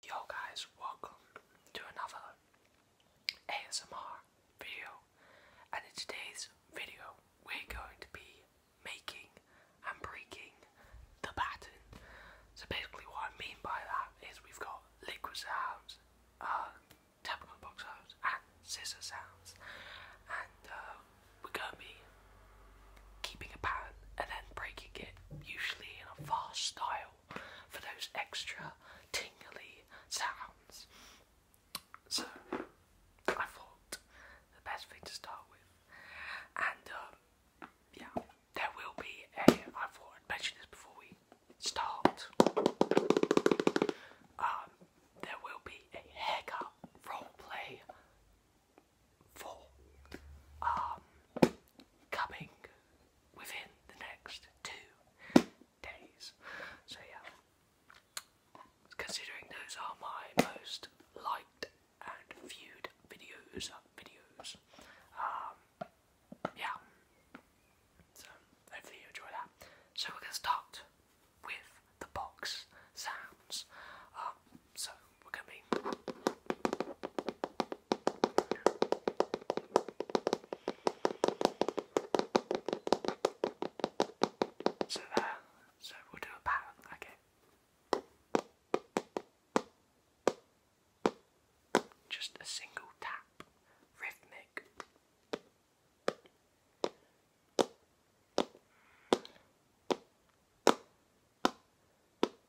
Yo guys, welcome to another ASMR video and in today's video we're going to be making and breaking the baton. So basically what I mean by that is we've got liquid sounds, uh, tactical box sounds and scissor sounds and uh, we're going to be keeping a pattern and then breaking it usually in a fast style for those extra tingly sounds. So I thought the best thing to start with, and um, yeah, there will be a. I thought I'd mention this before we start. Um, there will be a haircut role play for um, coming within the next two days. So yeah, considering those are my most liked and viewed videos, videos. Um, yeah. So hopefully you enjoy that. So we're gonna start with the box sounds. Um, so so there. Uh, so we'll do a pattern like Just a single tap, rhythmic.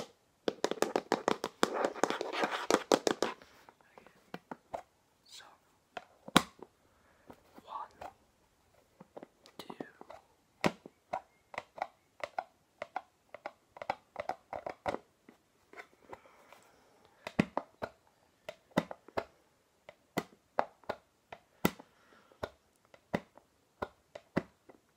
Okay. So one, two.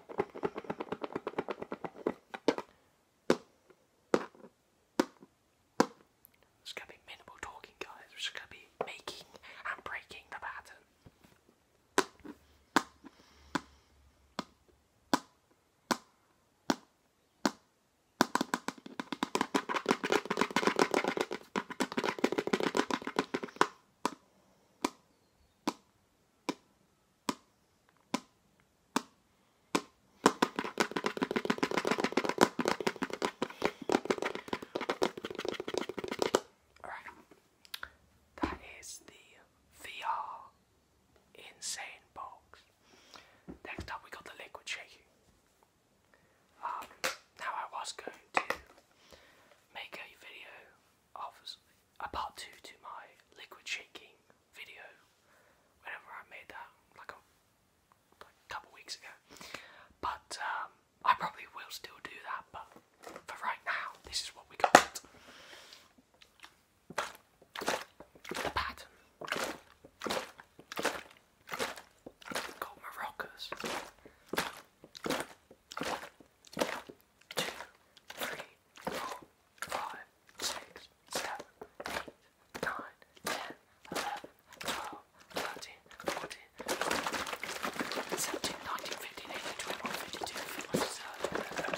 There's going to be minimal talking, guys. We're just going to be making and breaking the pattern. Alright, that is the VR Insane Box. Next up, we got the liquid shaking. Um, now I was going to make a video obviously a part two to my liquid shaking video. Whenever I made that, like a, couple weeks ago, but um, I probably will still do that. But for right now, this is what we got. The pattern. Got maracas two, three, four, five, six, seven, eight, nine, ten, eleven, twelve, thirteen, fourteen, fifteen, seventeen, nineteen, fifteen, eighteen, twenty-one, fifty-two, fifty-seven.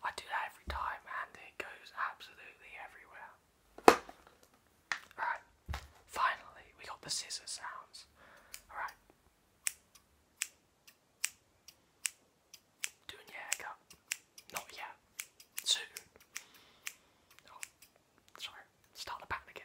I do that every time and it goes absolutely everywhere. Alright, finally we got the scissors sounds. Alright. Doing your haircut. Not yet. Soon. Oh, sorry. Start the pattern again.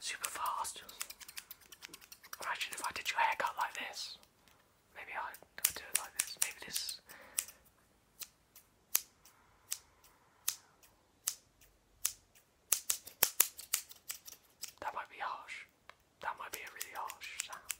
Super fast. Imagine if I did your haircut like this. Maybe I do it like this. Maybe this. That might be harsh. That might be a really harsh sound.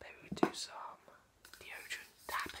Maybe we do some deodorant tapping.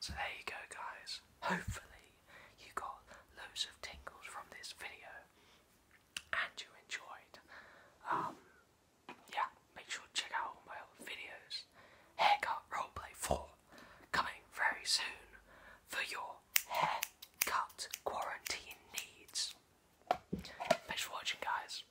So there you go guys, hopefully you got loads of tingles from this video and you enjoyed. Um, yeah, make sure check out my other videos. Haircut Roleplay 4 coming very soon for your haircut quarantine needs. Thanks for watching, guys.